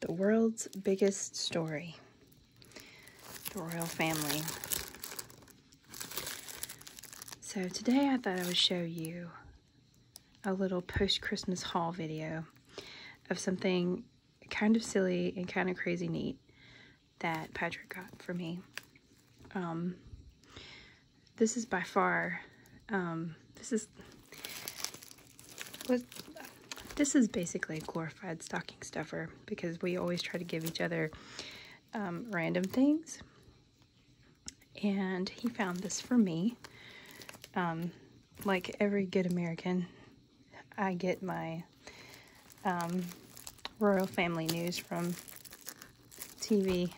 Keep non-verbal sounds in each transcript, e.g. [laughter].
The world's biggest story. The royal family. So today I thought I would show you a little post-Christmas haul video of something kind of silly and kind of crazy neat that Patrick got for me. Um, this is by far, um, this is, this is basically a glorified stocking stuffer because we always try to give each other um, random things. And he found this for me. Um, like every good American, I get my royal family news from TV.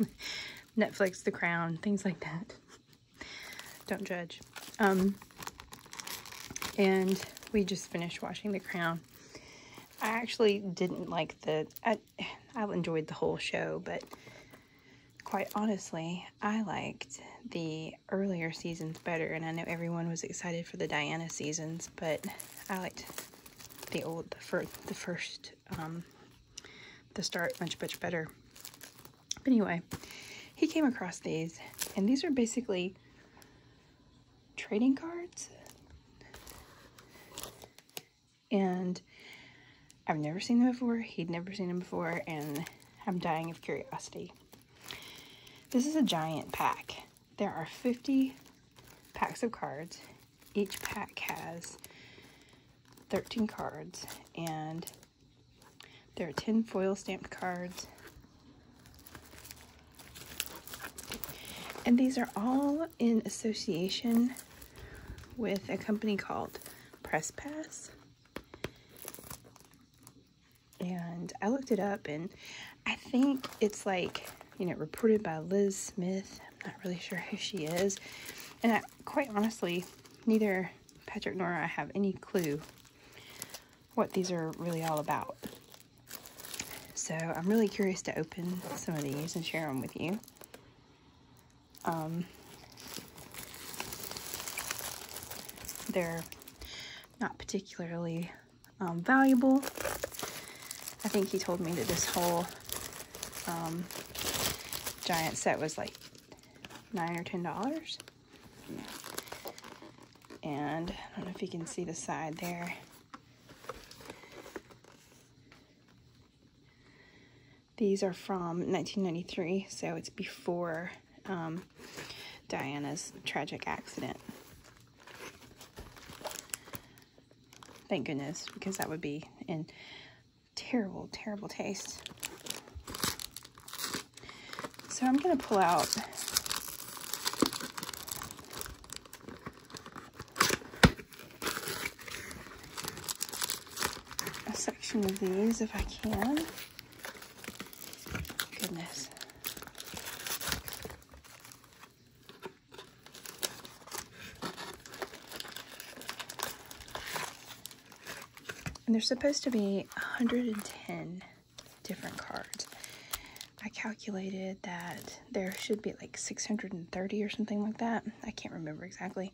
[laughs] Netflix, The Crown, things like that. [laughs] Don't judge. Um, and we just finished watching The Crown. I actually didn't like the, I, I enjoyed the whole show, but quite honestly, I liked the earlier seasons better. And I know everyone was excited for the Diana seasons, but I liked the old, for the first um, the start much, much better. But anyway, he came across these, and these are basically trading cards. And I've never seen them before. He'd never seen them before, and I'm dying of curiosity. This is a giant pack. There are 50 packs of cards each pack has 13 cards and there are 10 foil stamped cards. And these are all in association with a company called Press Pass. And I looked it up and I think it's like, you know, reported by Liz Smith. I'm not really [laughs] sure who she is. And I quite honestly, neither Patrick nor I have any clue what these are really all about. So I'm really curious to open some of these and share them with you. Um, they're not particularly um, valuable. I think he told me that this whole um, giant set was like nine or ten dollars. And I don't know if you can see the side there. These are from 1993, so it's before um, Diana's tragic accident. Thank goodness, because that would be in terrible, terrible taste. So I'm going to pull out a section of these if I can. Goodness. And there's supposed to be 110 different cards. I calculated that there should be like 630 or something like that. I can't remember exactly.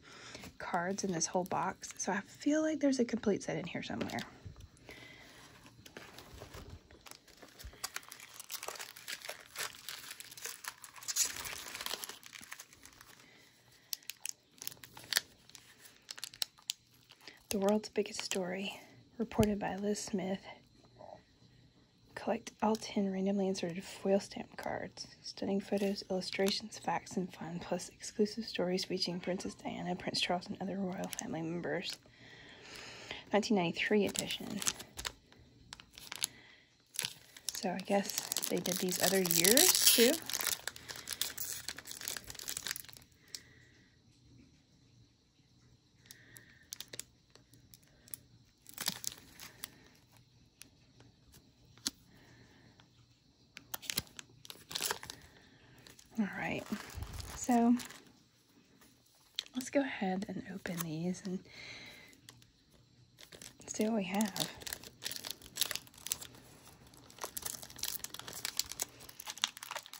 Cards in this whole box. So I feel like there's a complete set in here somewhere. The World's Biggest Story, reported by Liz Smith. Collect all 10 randomly inserted foil stamp cards, stunning photos, illustrations, facts, and fun, plus exclusive stories featuring Princess Diana, Prince Charles, and other royal family members. 1993 edition. So I guess they did these other years too. All right, so let's go ahead and open these and Let's see what we have.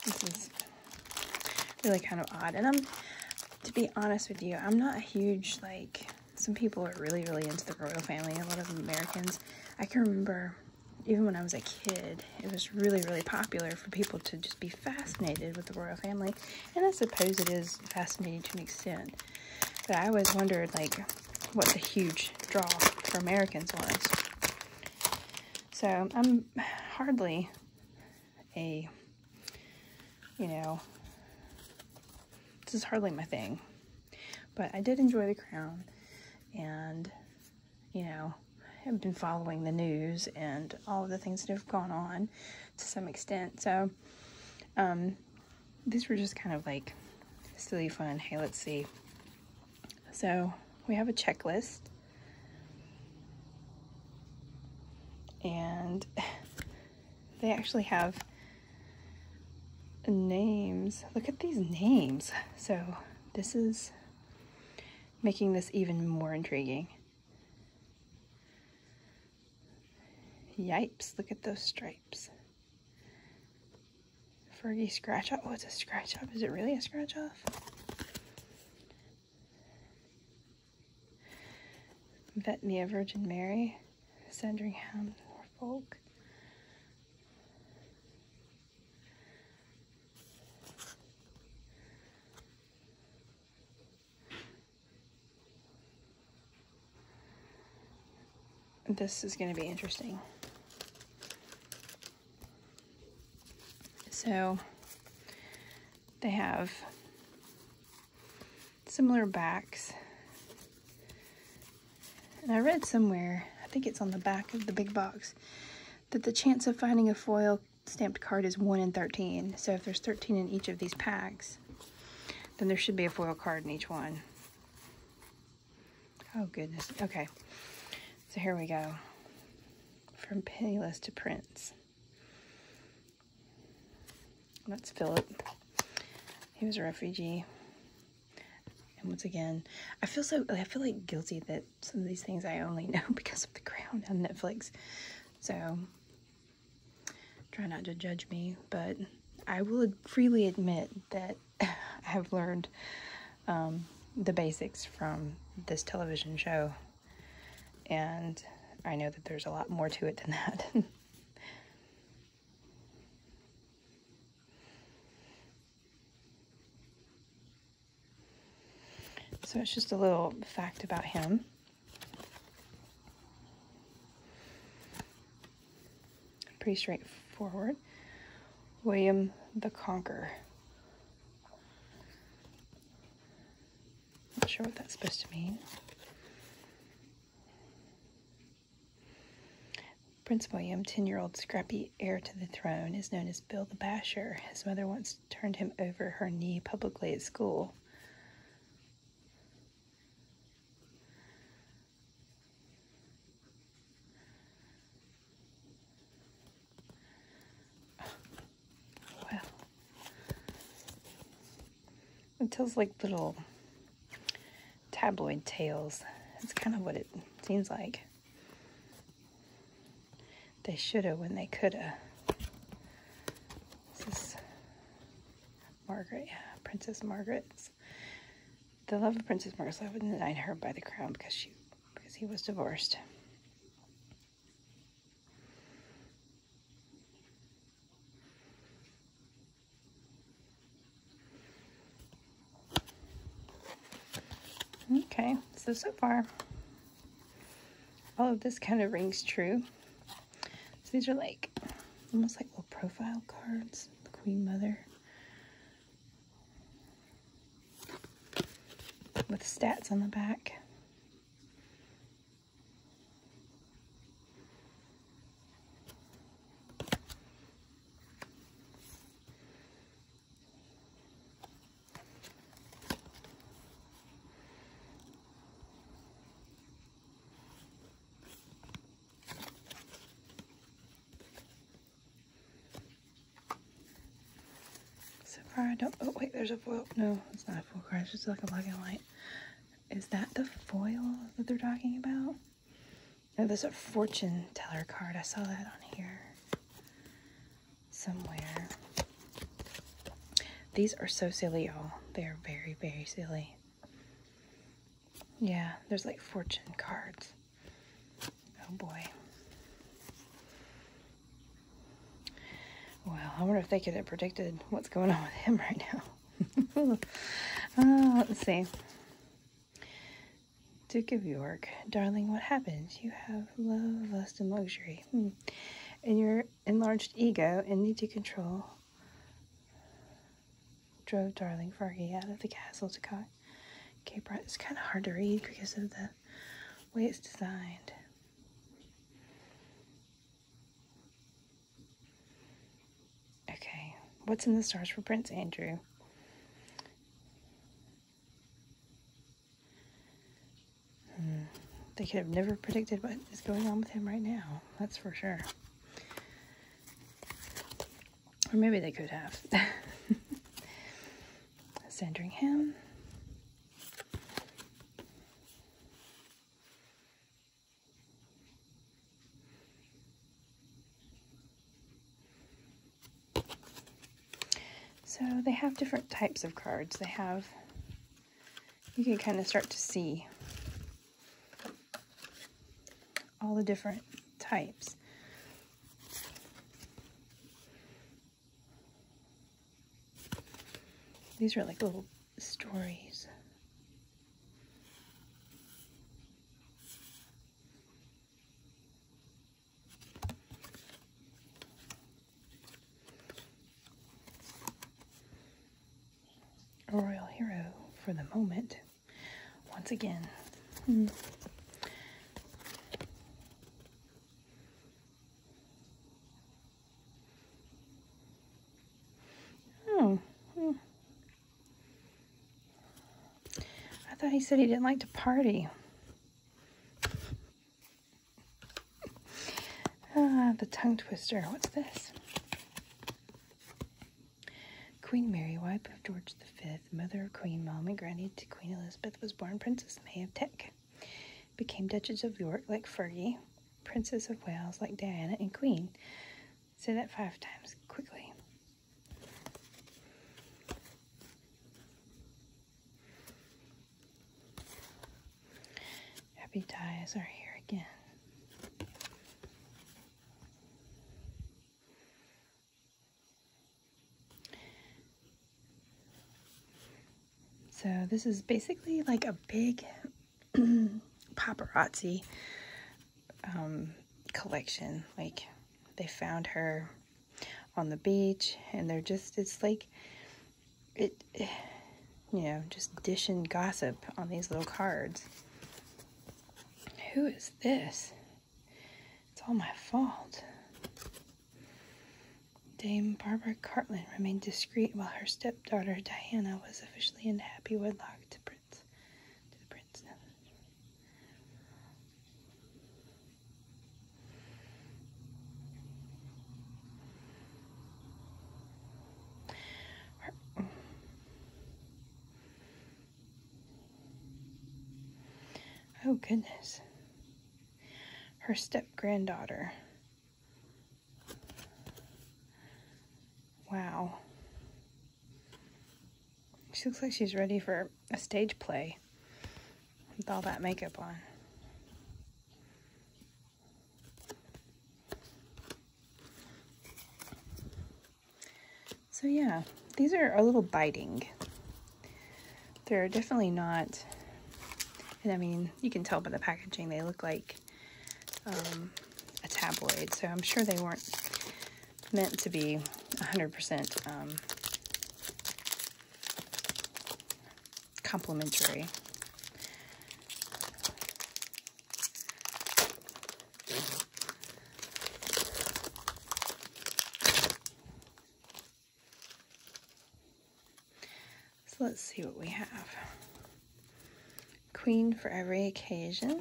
This is really kind of odd. And I'm, to be honest with you, I'm not a huge, like, some people are really, really into the royal family, a lot of Americans. I can remember, even when I was a kid, it was really, really popular for people to just be fascinated with the royal family. And I suppose it is fascinating to an extent. But I always wondered, like, what the huge draw for Americans was. So I'm hardly a, you know, this is hardly my thing. But I did enjoy The Crown, and, you know, I've been following the news and all of the things that have gone on to some extent. So, um, these were just kind of like silly fun. Hey, let's see. So we have a checklist. And [laughs] they actually have names. Look at these names. So this is making this even more intriguing. Yipes, look at those stripes stripes. Fergie scratch off. Oh, it's a scratch off. Is it really a scratch off? Vetney of Virgin Mary, Sandringham, Norfolk. This is going to be interesting. So they have similar backs. And I read somewhere, I think it's on the back of the big box, that the chance of finding a foil stamped card is 1 in 13. So if there's 13 in each of these packs, then there should be a foil card in each one. Oh, goodness. Okay. So here we go. From Penniless to Prince. That's Philip. He was a refugee. And once again, I feel so, I feel like guilty that some of these things I only [laughs] know because of the crown on Netflix. So, try not to judge me, but I will freely admit that [laughs] I have learned um, the basics from this television show, and I know that there's a lot more to it than that. [laughs] so it's just a little fact about him. Pretty straightforward. William the Conqueror. Not sure what that's supposed to mean. Prince William, 10 year old scrappy heir to the throne, is known as Bill the Basher. His mother once turned him over her knee publicly at school. Well, it tells like little tabloid tales. It's kind of what it seems like. They shoulda when they coulda. Margaret, yeah, Princess Margaret's. The love of Princess Margaret's love was denied her by the crown because she because he was divorced. Okay, so so far, all of this kind of rings true. So these are like almost like profile cards, the Queen Mother. With stats on the back. So far I don't, oh wait, there's a foil. No, it's not a full card, it's just like a black and white. Is that the foil that they're talking about? Oh, there's a fortune teller card. I saw that on here somewhere. These are so silly, y'all. They are very, very silly. Yeah, there's like fortune cards. Oh boy. Well, I wonder if they could have predicted what's going on with him [laughs] right now. uh, let's see. Duke of York, darling, what happens? You have love, lust, and luxury, hmm. and your enlarged ego, and need to control drove darling Fergie out of the castle to Cape okay, It's kind of hard to read because of the way it's designed. Okay, what's in the stars for Prince Andrew? Hmm, they could have never predicted what is going on with him right now, that's for sure. Or maybe they could have. [laughs] Sandringham. So they have different types of cards. They have, you can kind of start to see all the different types. These are like little stories. A royal hero for the moment once again. Hmm. hmm. I thought he said he didn't like to party. Ah, the tongue twister. What's this? Queen Mary, wife of George V, mother of Queen Mom and granny to Queen Elizabeth, was born Princess May of Teck, became Duchess of York like Fergie, Princess of Wales like Diana, and Queen. Say that five times quickly. Happy ties are here again. So this is basically like a big [clears throat] paparazzi um, collection. Like they found her on the beach and they're just, it's like, it, you know, just dishing gossip on these little cards. Who is this? It's all my fault. Dame Barbara Cartland remained discreet while her stepdaughter Diana was officially in happy wedlock to Prince to the Prince. Oh, goodness. Her step granddaughter. Wow. She looks like she's ready for a stage play with all that makeup on. So yeah, these are a little biting. They're definitely not, and I mean, you can tell by the packaging, they look like um, a tabloid. So I'm sure they weren't meant to be 100% um, complimentary. So let's see what we have. Queen for every occasion.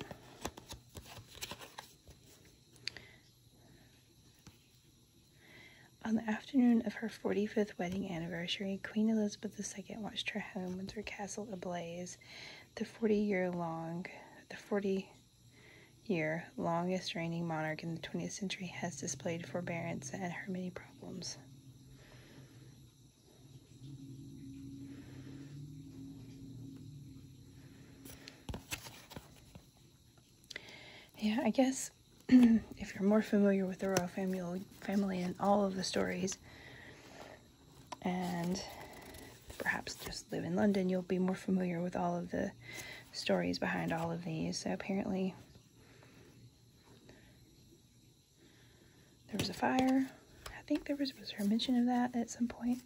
On the afternoon of her 45th wedding anniversary, Queen Elizabeth II watched her home, her Castle, ablaze the 40 year long, the 40 year longest reigning monarch in the 20th century has displayed forbearance and her many problems. Yeah, I guess [clears throat] if you're more familiar with the royal family, family and all of the stories, and perhaps just live in London, you'll be more familiar with all of the stories behind all of these. So apparently there was a fire. I think there was, was there a mention of that at some point?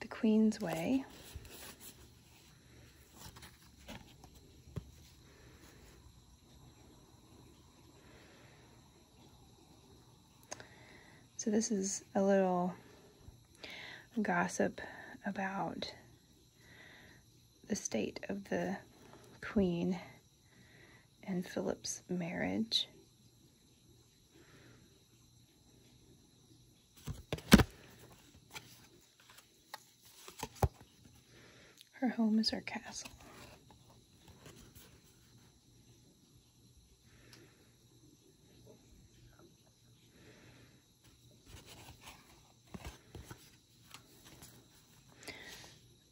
The Queen's Way. So this is a little gossip about the state of the Queen and Philip's marriage. Her home is her castle.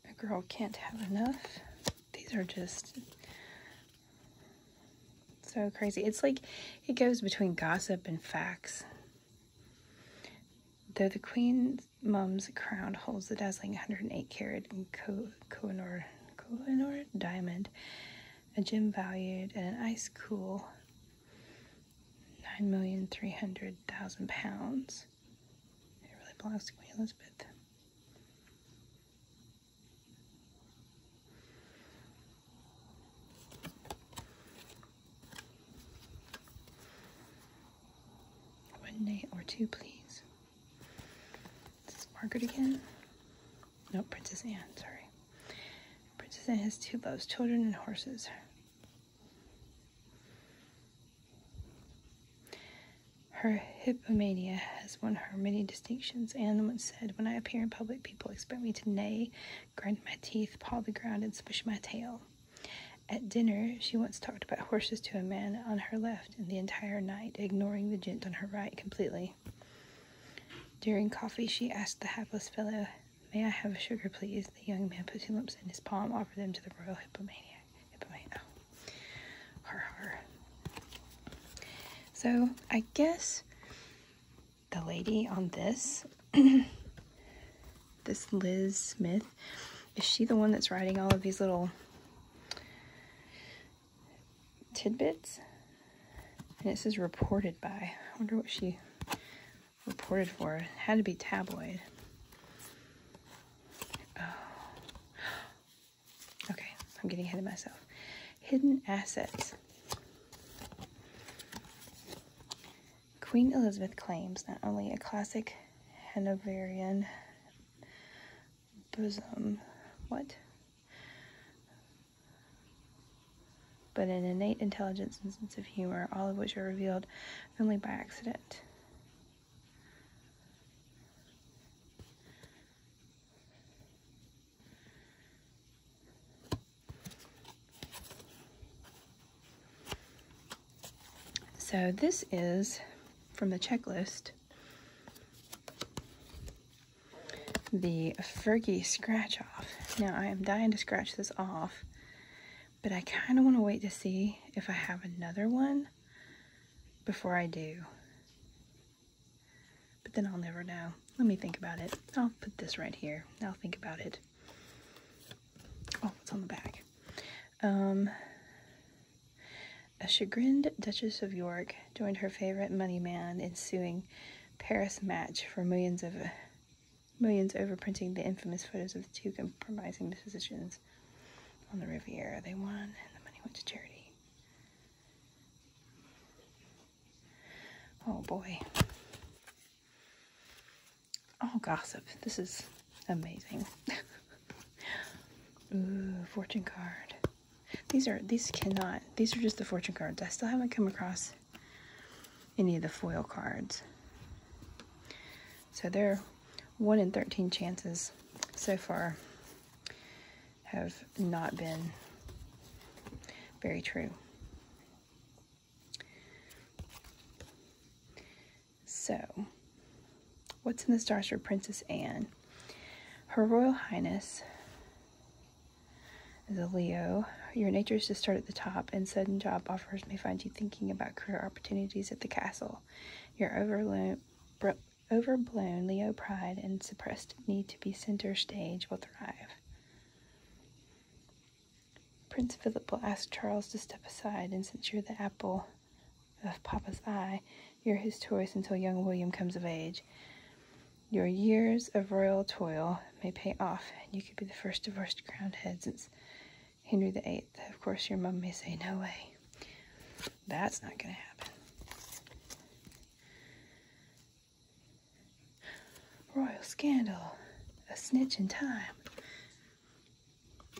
A girl can't have enough. These are just so crazy. It's like it goes between gossip and facts. Though the queen mum's crown holds the dazzling 108 carat and Kohinoor, Kohinoor diamond, a gem valued at an ice cool 9,300,000 pounds. It really blows to Queen Elizabeth. One night or two, please. This is Margaret again. No, Princess Anne, sorry. Princess Anne has two loves, children and horses. Her hippomania has won her many distinctions. Anne once said, When I appear in public, people expect me to neigh, grind my teeth, paw the ground, and swish my tail. At dinner, she once talked about horses to a man on her left and the entire night, ignoring the gent on her right completely. During coffee, she asked the hapless fellow, May I have a sugar, please? The young man put two lumps in his palm, offered them to the royal hippomaniac. Hippomaniac. So I guess the lady on this, [clears throat] this Liz Smith, is she the one that's writing all of these little tidbits. And it says reported by. I wonder what she reported for. had to be tabloid. Oh. Okay, I'm getting ahead of myself. Hidden assets. Queen Elizabeth claims not only a classic Hanoverian bosom, what? but an innate intelligence and sense of humor, all of which are revealed only by accident. So, this is from the checklist the Fergie scratch off. Now I am dying to scratch this off, but I kind of want to wait to see if I have another one before I do. But then I'll never know. Let me think about it. I'll put this right here. I'll think about it. Oh, it's on the back. Um, a chagrined Duchess of York joined her favorite money man in suing Paris Match for millions of millions overprinting the infamous photos of the two compromising musicians on the Riviera. They won, and the money went to charity. Oh boy. Oh gossip. This is amazing. [laughs] Ooh, fortune card. These are these cannot. These are just the fortune cards. I still haven't come across any of the foil cards. So they're 1 in 13 chances so far have not been very true. So, what's in the stars for Princess Anne? Her Royal Highness is Leo. Your nature is to start at the top, and sudden job offers may find you thinking about career opportunities at the castle. Your overblown Leo pride and suppressed need to be center stage will thrive. Prince Philip will ask Charles to step aside, and since you're the apple of Papa's eye, you're his choice until young William comes of age. Your years of royal toil may pay off, and you could be the first divorced crowned head since Henry VIII. Of course, your mom may say, No way. That's not going to happen. Royal scandal. A snitch in time.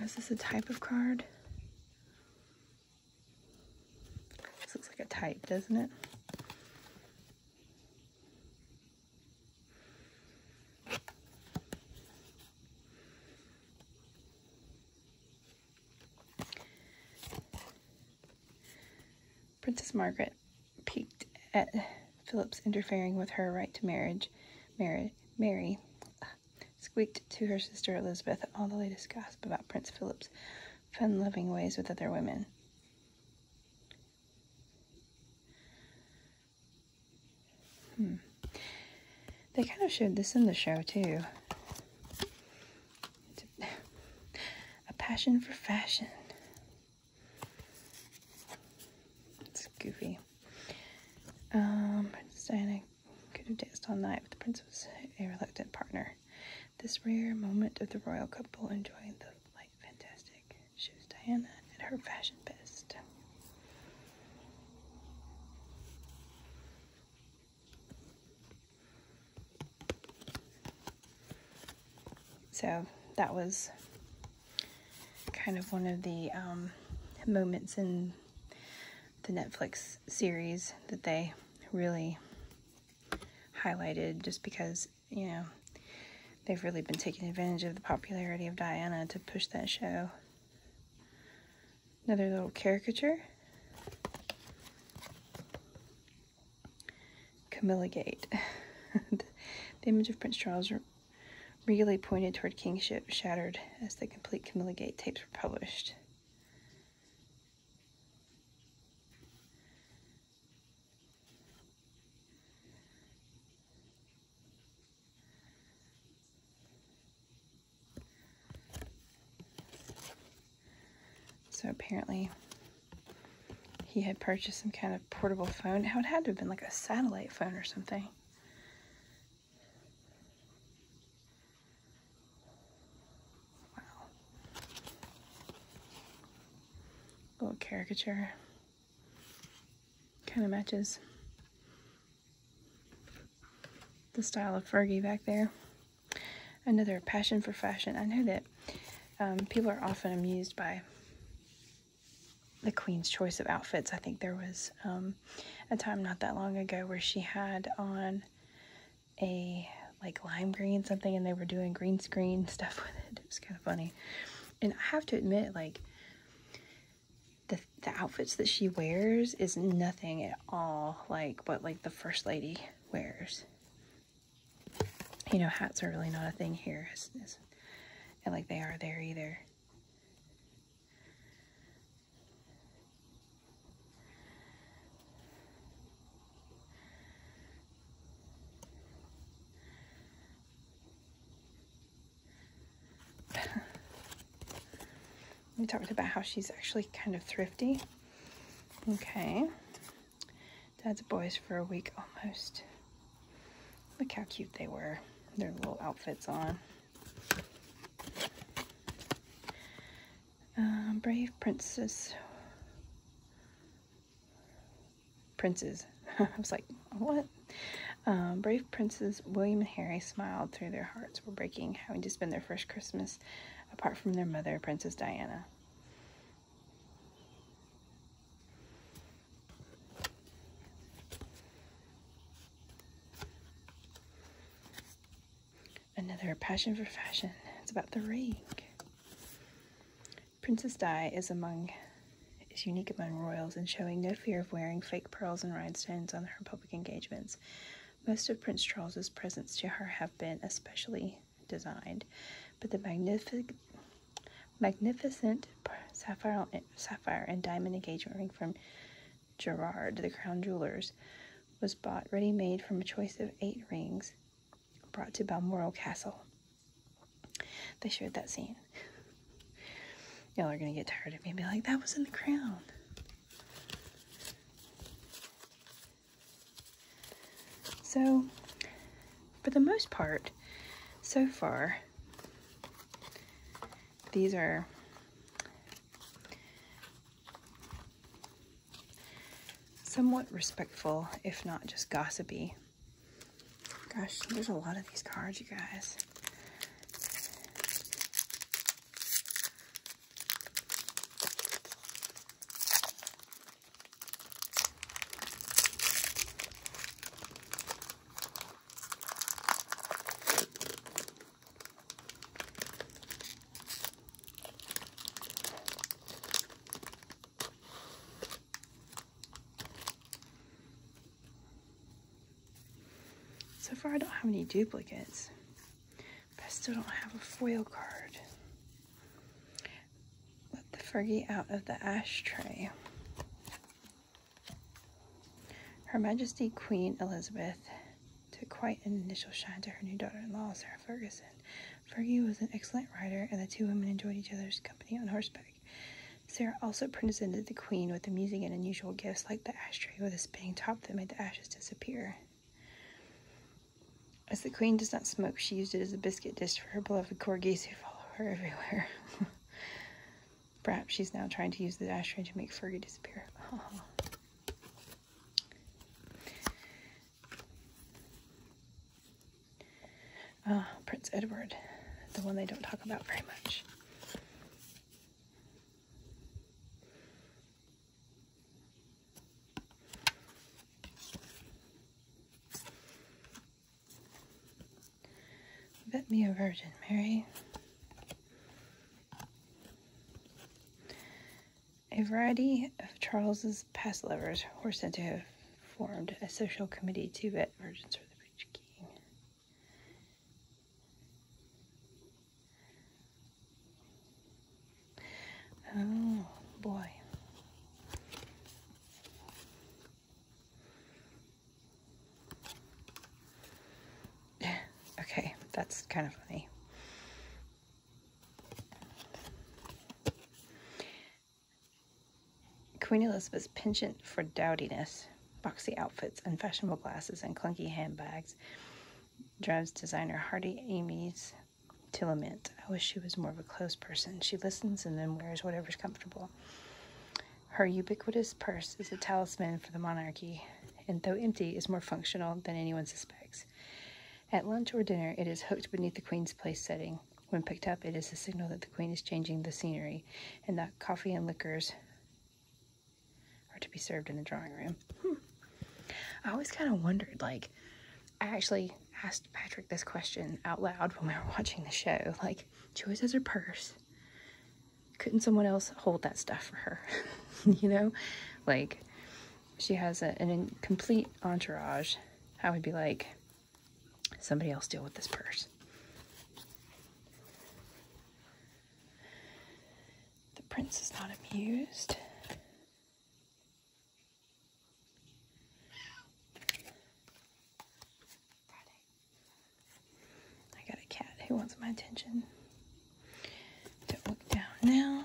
Is this a type of card? This looks like a type, doesn't it? Princess Margaret peeped at Philip's interfering with her right to marriage. Mary uh, squeaked to her sister Elizabeth all the latest gossip about Prince Philip's fun loving ways with other women. Hmm. They kind of showed this in the show too. A, passion for fashion. It's goofy. Um, Diana could have danced all night, but the prince was a reluctant partner. This rare moment of the royal couple enjoying the light fantastic shows Diana at her fashion best. So that was kind of one of the um, moments in the Netflix series that they really highlighted just because, you know, they've really been taking advantage of the popularity of Diana to push that show. Another little caricature. Camilla Gate. [laughs] the image of Prince Charles really pointed toward kingship shattered as the complete Camilla Gate tapes were published. So apparently he had purchased some kind of portable phone. How it had to have been like a satellite phone or something. Wow. little caricature. Kind of matches the style of Fergie back there. Another passion for fashion. I know that um, people are often amused by the queen's choice of outfits. I think there was um, a time not that long ago where she had on a like lime green something and they were doing green screen [laughs] stuff with it. It was kind of funny. And I have to admit, like, the, the outfits that she wears is nothing at all like what like the first lady wears. You know, hats are really not a thing here, and like they are there either we talked about how she's actually kind of thrifty. Okay. Dad's boys for a week almost. Look how cute they were. Their little outfits on. Uh, brave princes. Princes. [laughs] I was like, what? Uh, brave princes William and Harry smiled through their hearts were breaking, having to spend their first Christmas apart from their mother, Princess Diana. Another passion for fashion. It's about the ring. Princess Di is among is unique among royals in showing no fear of wearing fake pearls and rhinestones on her public engagements. Most of Prince Charles's presents to her have been especially designed, but the magnific magnificent sapphire, sapphire and diamond engagement ring from Gerard, the crown jewelers, was bought ready-made from a choice of eight rings brought to Balmoral Castle. They showed that scene. Y'all are gonna get tired of me and be like, that was in the crown. So, for the most part, so far, these are somewhat respectful, if not just gossipy. Gosh, there's a lot of these cards, you guys. So far I don't have any duplicates, but I still don't have a foil card. Put the Fergie out of the ashtray. Her Majesty Queen Elizabeth took quite an initial shine to her new daughter-in-law, Sarah Ferguson. Fergie was an excellent rider, and the two women enjoyed each other's company on horseback. Sarah also presented the queen with amusing and unusual gifts, like the ashtray with a spinning top that made the ashes disappear. As the queen does not smoke, she used it as a biscuit dish for her beloved corgis who follow her [laughs] everywhere. Perhaps she's now trying to use the ashtray to make Fergie disappear. [laughs] Ah, Prince Edward, the one they don't talk about very much. Bet me a Virgin Mary. A variety of Charles's past lovers were said to have formed a social committee to vet virgins for the rich king. Oh boy. [sighs] okay, that's kind of funny. Queen Elizabeth's penchant for dowdiness, boxy outfits, unfashionable glasses, and clunky handbags drives designer Hardy Ames to lament. I wish she was more of a close person. She listens and then wears whatever's comfortable. Her ubiquitous purse is a talisman for the monarchy, and though empty, is more functional than anyone suspects. At lunch or dinner, it is hooked beneath the queen's place setting. When picked up, it is a signal that the queen is changing the scenery and that coffee and liquors are to be served in the drawing room. Hmm. I always kind of wondered, like, I actually asked Patrick this question out loud when we were watching the show. Like, she always has her purse. Couldn't someone else hold that stuff for her? [laughs] you know? Like, she has an incomplete entourage, I would be like, somebody else deal with this purse. The prince is not amused. I got a cat who wants my attention. Don't look down now.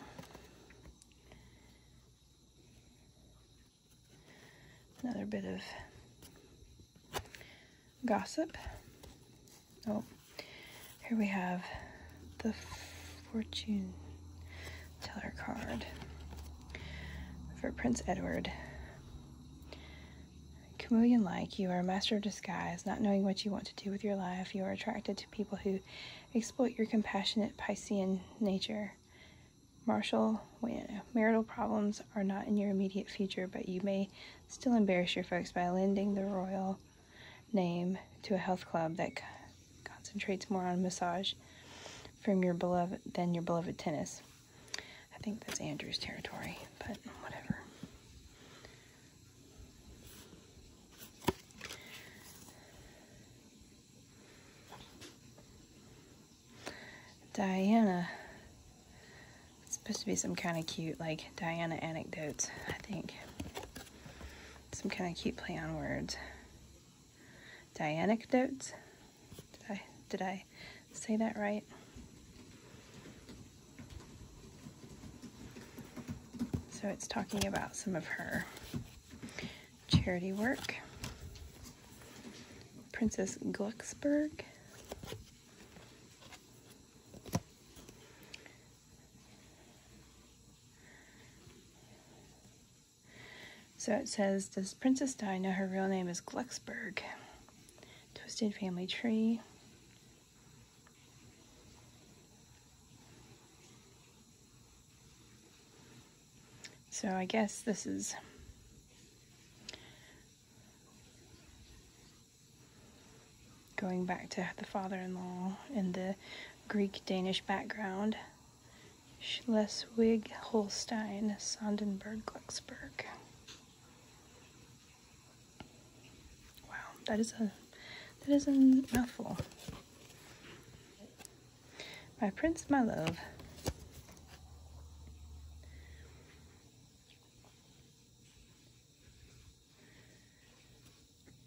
Another bit of gossip. Oh, here we have the fortune teller card for Prince Edward. Chameleon like, you are a master of disguise, not knowing what you want to do with your life. You are attracted to people who Exploit your compassionate Piscean nature. Marshall Marital problems are not in your immediate future, but you may still embarrass your folks by lending the royal name to a health club that concentrates more on massage from your beloved than your beloved tennis. I think that's Andrew's territory, but whatever. Diana. It's supposed to be some kind of cute, like, Diana anecdotes, I think. Some kind of cute play on words. Dianecdotes? Did I, did I say that right? So it's talking about some of her charity work. Princess Glucksberg. So it says, Does Princess Diana her real name is Glucksberg? Twisted Family Tree. So I guess this is going back to the father-in-law and the Greek-Danish background. Schleswig-Holstein, Sondenberg-Glücksburg. Wow, that is a that is a mouthful. My Prince My Love.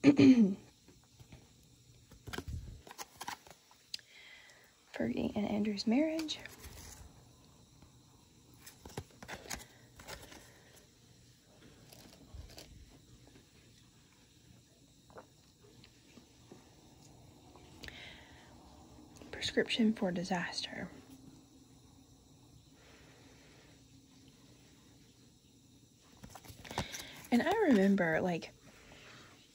[clears throat] Fergie and Andrew's marriage. Prescription for disaster. And I remember, like,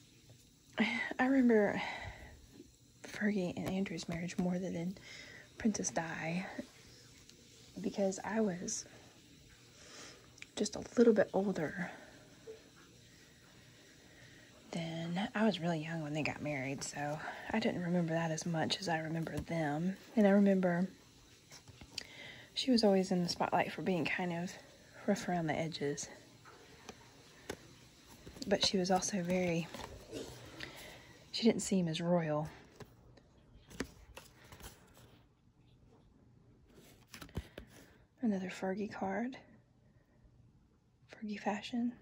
[sighs] I remember Fergie and Andrew's marriage more than Princess Di because I was just a little bit older than I was really young when they got married, so I didn't remember that as much as I remember them. And I remember she was always in the spotlight for being kind of rough around the edges. But she was also very, she didn't seem as royal Another Fergie card. Fergie fashion.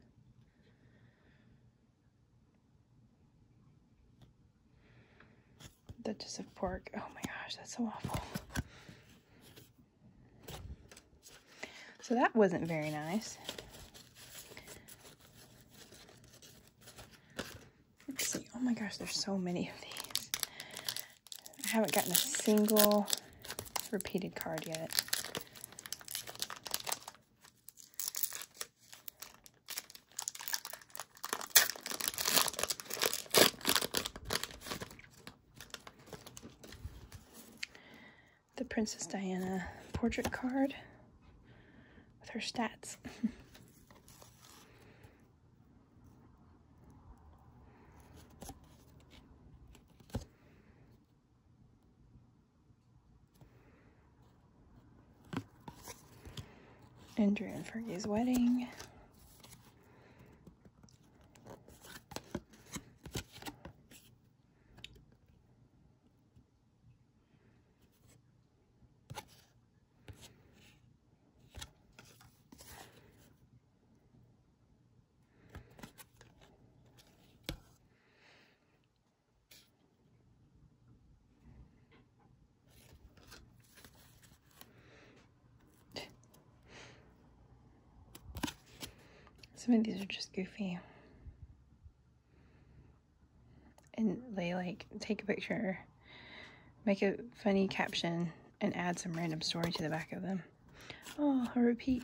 Duchess of Pork. Oh my gosh, that's so awful. So that wasn't very nice. Let's see. Oh my gosh, there's so many of these. I haven't gotten a single repeated card yet. The Princess Diana portrait card with her stats. [laughs] Andrew and Fergie's wedding. Some of these are just goofy. And they like take a picture, make a funny caption, and add some random story to the back of them. Oh, a repeat.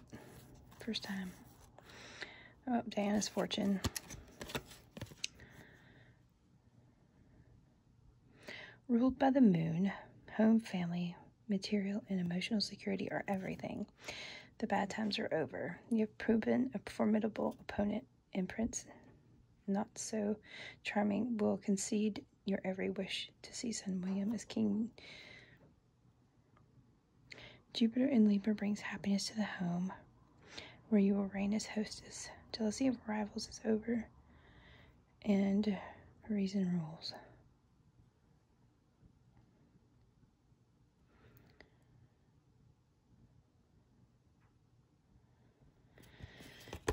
First time. Oh, Diana's Fortune. Ruled by the moon, home, family, material, and emotional security are everything. The bad times are over. You have proven a formidable opponent, Imprints, not so charming, will concede your every wish to see son William as king. Jupiter in Libra brings happiness to the home, where you will reign as hostess. Jealousy of rivals is over, and reason rules.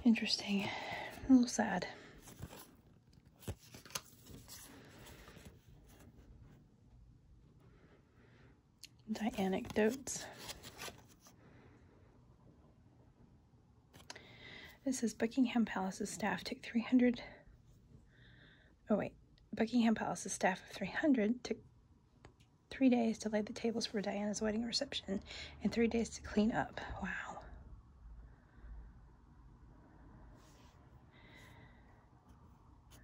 Interesting. A little sad. Die anecdotes. This says Buckingham Palace's staff took 300. Oh, wait. Buckingham Palace's staff of 300 took three days to lay the tables for Diana's wedding reception and three days to clean up. Wow.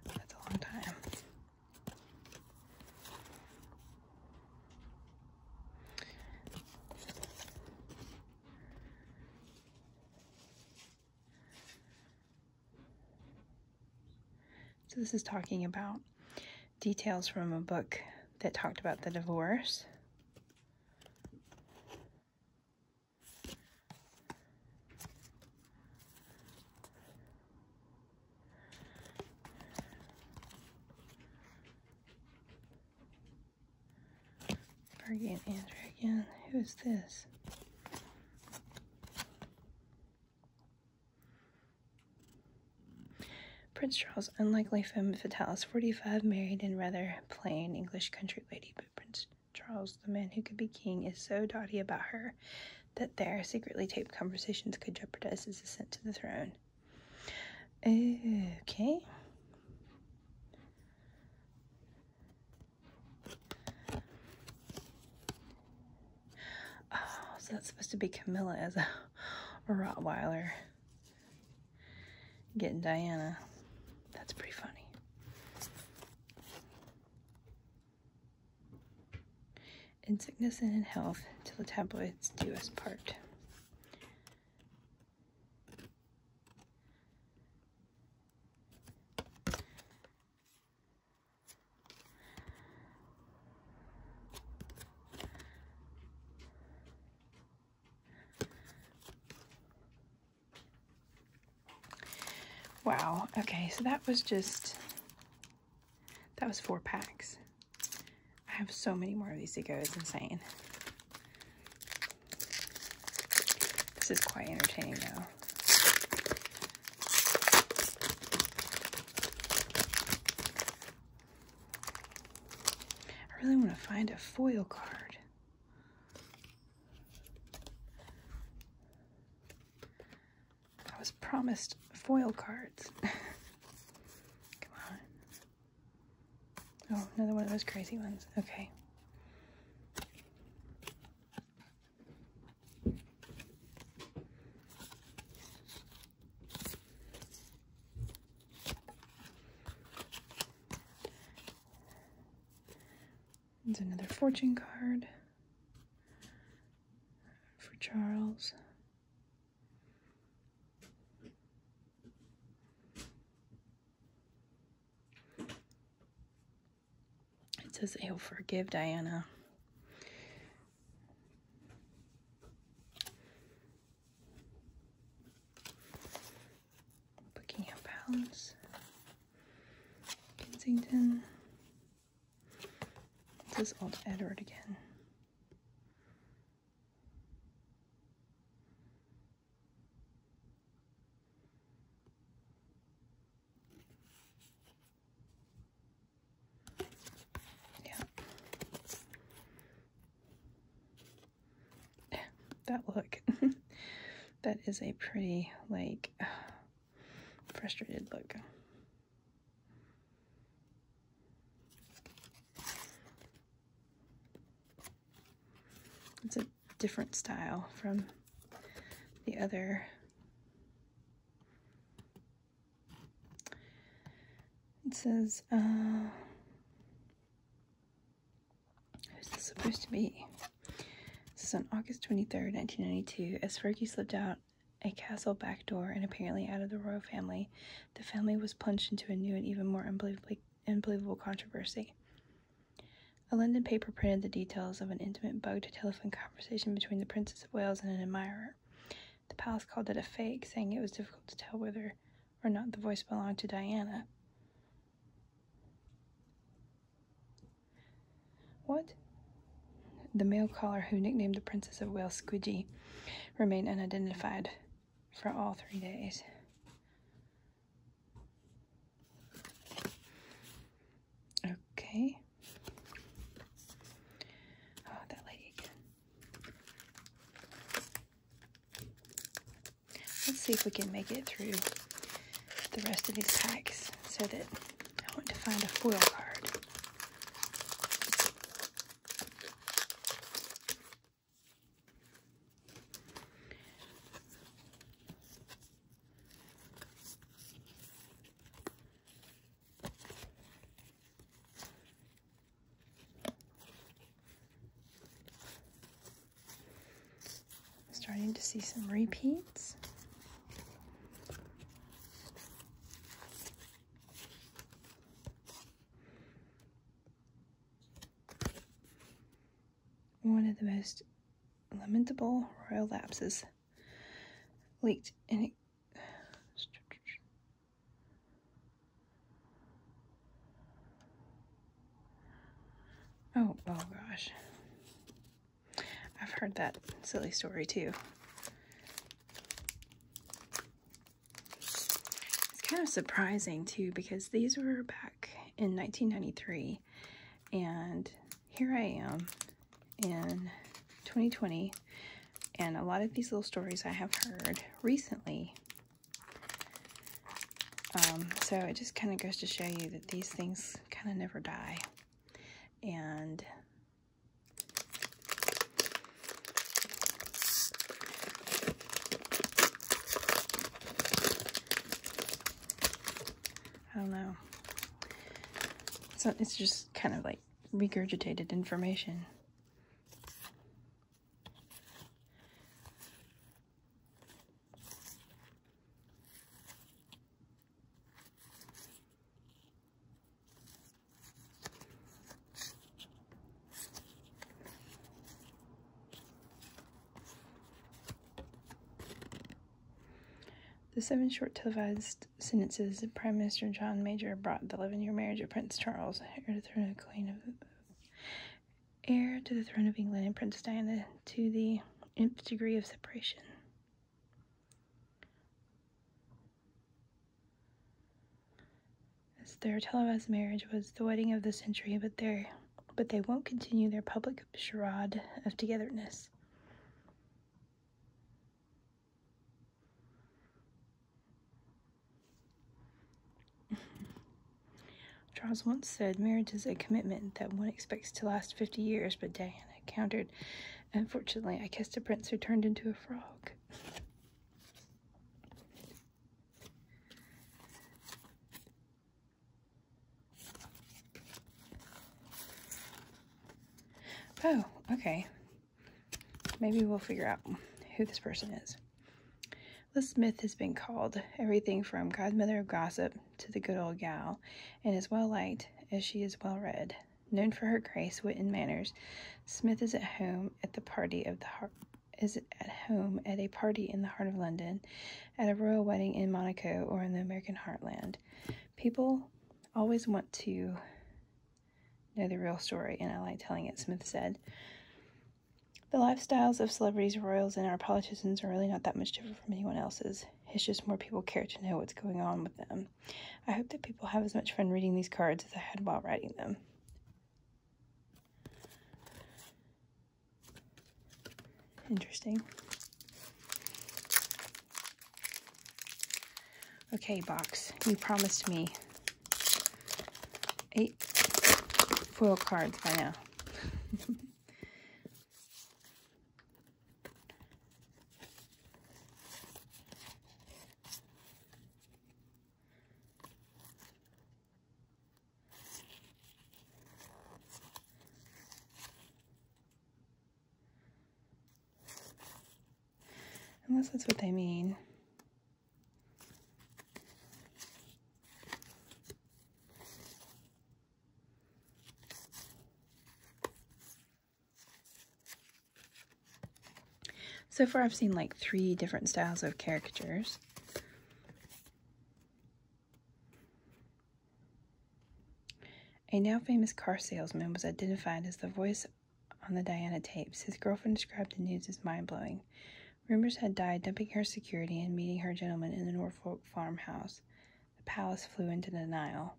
That's a long time. So this is talking about details from a book that talked about the divorce. Bargain Andrew again. Who's this? Prince Charles, unlikely femme fatales, 45, married in rather plain English country lady, but Prince Charles, the man who could be king, is so dotty about her that their secretly taped conversations could jeopardize his ascent to the throne. Okay. Oh, so that's supposed to be Camilla as a Rottweiler getting Diana. That's pretty funny. In sickness and in health, till the tabloids do us part. Wow. Okay, so that was just, that was four packs. I have so many more of these to go. It's insane. This is quite entertaining, though. I really want to find a foil card. I was promised foil cards. [laughs] Come on. Oh, another one of those crazy ones. Okay. There's another fortune card for Charles. It says he'll forgive Diana. Buckingham Palace, Kensington. This is old Edward again. Yeah that look. [laughs] that is a pretty, like, frustrated look. It's a different style from the other It says, uh, Who's this supposed to be? This is on August 23rd, 1992. As Fergie slipped out a castle back door and apparently out of the royal family, the family was plunged into a new and even more unbelievably unbelievable controversy. A London paper printed the details of an intimate bugged telephone conversation between the Princess of Wales and an admirer. The palace called it a fake, saying it was difficult to tell whether or not the voice belonged to Diana. What? The male caller who nicknamed the Princess of Wales Squidgy remained unidentified for all three days. Okay. Oh, that lady again. Let's see if we can make it through the rest of these packs so that I want to find a foil card. Starting to see some repeats. One of the most lamentable royal lapses leaked in Oh, oh gosh. I've heard that silly story too. It's kind of surprising too because these were back in 1993 and here I am in 2020 and a lot of these little stories I have heard recently um, so it just kind of goes to show you that these things kind of never die. And I don't know. So it's just kind of like regurgitated information. The seven short televised sentences Prime Minister John Major brought the 11 year marriage of Prince Charles, heir the Queen of heir to the throne of England and Princess Diana to the nth degree of separation. their televised marriage was the wedding of the century, but their but they won't continue their public charade of togetherness. [laughs] Charles once said, Marriage is a commitment that one expects to last 50 years, but Diana countered, Unfortunately, I kissed a prince who turned into a frog. Oh, okay. Maybe we'll figure out who this person is. This myth has been called everything from godmother of gossip to the good old gal, and is well liked as she is well read. Known for her grace, wit, and manners, Smith is at home at the party of the heart is at home at a party in the heart of London, at a royal wedding in Monaco, or in the American heartland. People always want to know the real story, and I like telling it, Smith said. The lifestyles of celebrities, royals, and our politicians are really not that much different from anyone else's. It's just more people care to know what's going on with them. I hope that people have as much fun reading these cards as I had while writing them. Interesting. Okay, box, you promised me eight foil cards by now. Unless that's what they mean. So far I've seen like three different styles of caricatures. A now famous car salesman was identified as the voice on the Diana tapes. His girlfriend described the news as mind blowing. Rumors had died, dumping her security and meeting her gentleman in the Norfolk farmhouse. The palace flew into denial.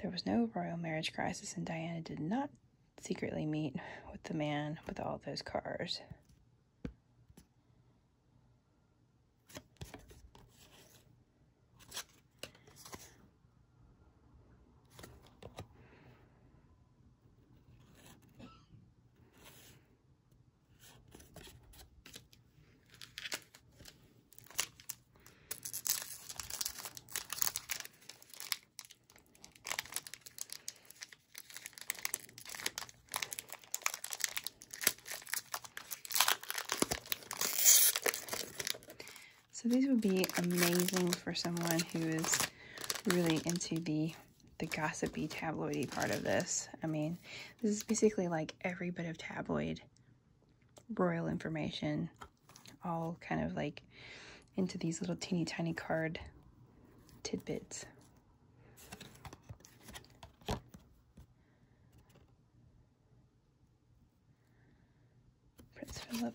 There was no royal marriage crisis, and Diana did not secretly meet with the man with all those cars. So these would be amazing for someone who is really into the the gossipy tabloidy part of this. I mean, this is basically like every bit of tabloid royal information all kind of like into these little teeny tiny card tidbits. Prince Philip.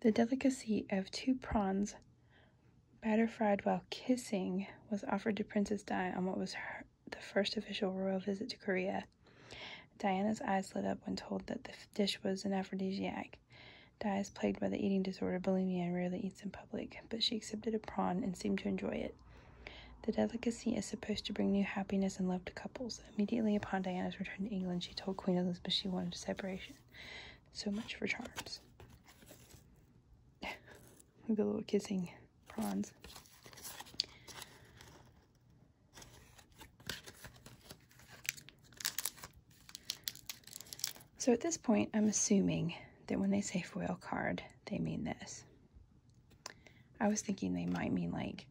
The delicacy of two prawns Batter fried while kissing was offered to Princess Diana on what was her, the first official royal visit to Korea. Diana's eyes lit up when told that the dish was an aphrodisiac. Diana, is plagued by the eating disorder bulimia and rarely eats in public, but she accepted a prawn and seemed to enjoy it. The delicacy is supposed to bring new happiness and love to couples. Immediately upon Diana's return to England, she told Queen Elizabeth she wanted a separation. So much for charms. [laughs] With a little kissing prawns. So at this point, I'm assuming that when they say foil card, they mean this. I was thinking they might mean like,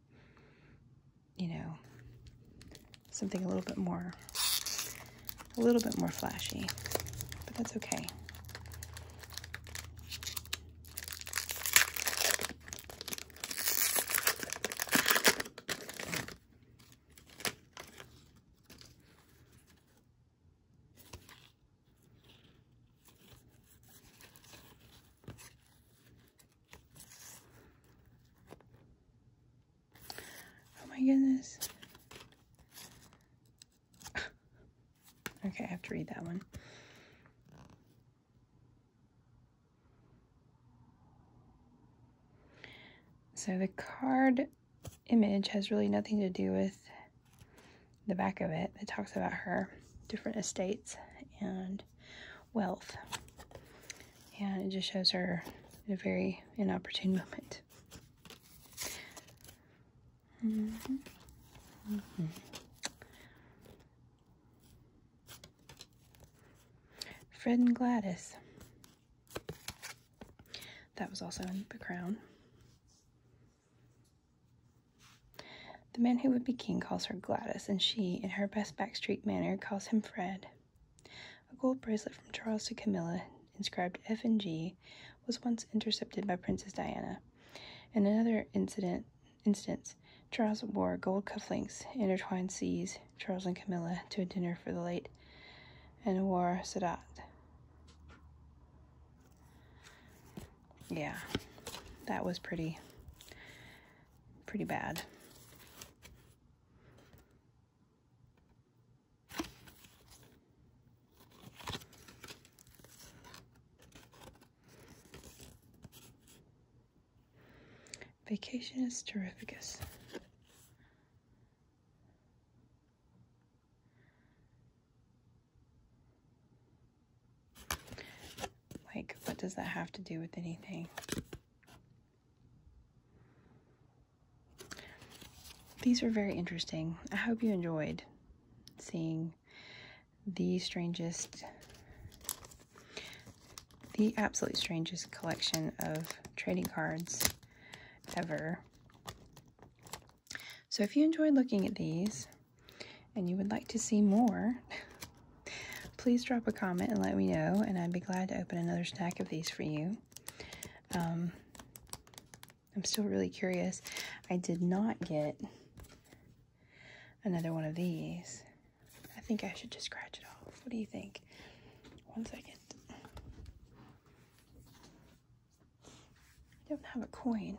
you know, something a little bit more a little bit more flashy, but that's okay. Oh my goodness okay, I have to read that one. So the card image has really nothing to do with the back of it. It talks about her different estates and wealth. And it just shows her in a very inopportune [laughs] moment. Mm-hmm. Fred and Gladys. That was also in The Crown. The man who would be king calls her Gladys, and she, in her best backstreet manner, calls him Fred. A gold bracelet from Charles to Camilla inscribed F and G, was once intercepted by Princess Diana. In another incident, instance, Charles wore gold cufflinks, intertwined C's, Charles and Camilla, to a dinner for the late, and wore Sadat. Yeah, that was pretty, pretty bad. Vacation is terrificus. Like, what does that have to do with anything? These were very interesting. I hope you enjoyed seeing the strangest, the absolutely strangest collection of trading cards ever. So if you enjoyed looking at these and you would like to see more, [laughs] please drop a comment and let me know, and I'd be glad to open another stack of these for you. Um, I'm still really curious. I did not get another one of these. I think I should just scratch it off. What do you think? One second. I don't have a coin.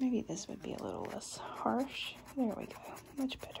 Maybe this would be a little less harsh. There we go. Much better.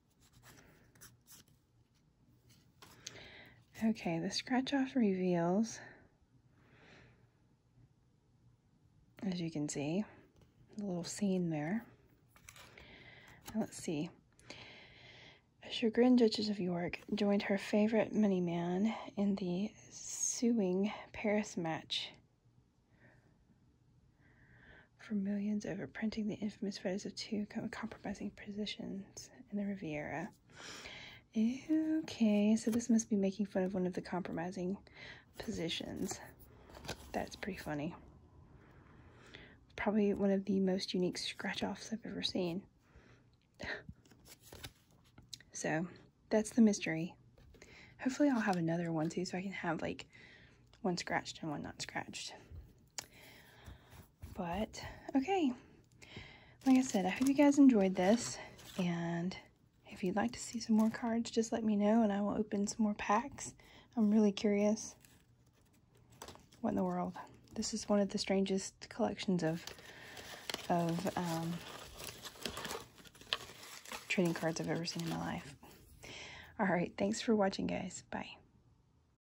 Okay, the scratch off reveals, as you can see, the little scene there. let's see. A chagrined Duchess of York joined her favorite money man in the suing Paris match for millions over printing the infamous photos of two compromising positions. Yes, in the Riviera. Okay, so this must be making fun of one of the compromising positions. That's pretty funny. Probably one of the most unique scratch-offs I've ever seen. [sighs] so, that's the mystery. Hopefully I'll have another one too so I can have like one scratched and one not scratched. But, okay. Like I said, I hope you guys enjoyed this. And if you'd like to see some more cards, just let me know and I will open some more packs. I'm really curious. What in the world? This is one of the strangest collections of, of um, trading cards I've ever seen in my life. Alright, thanks for watching guys. Bye.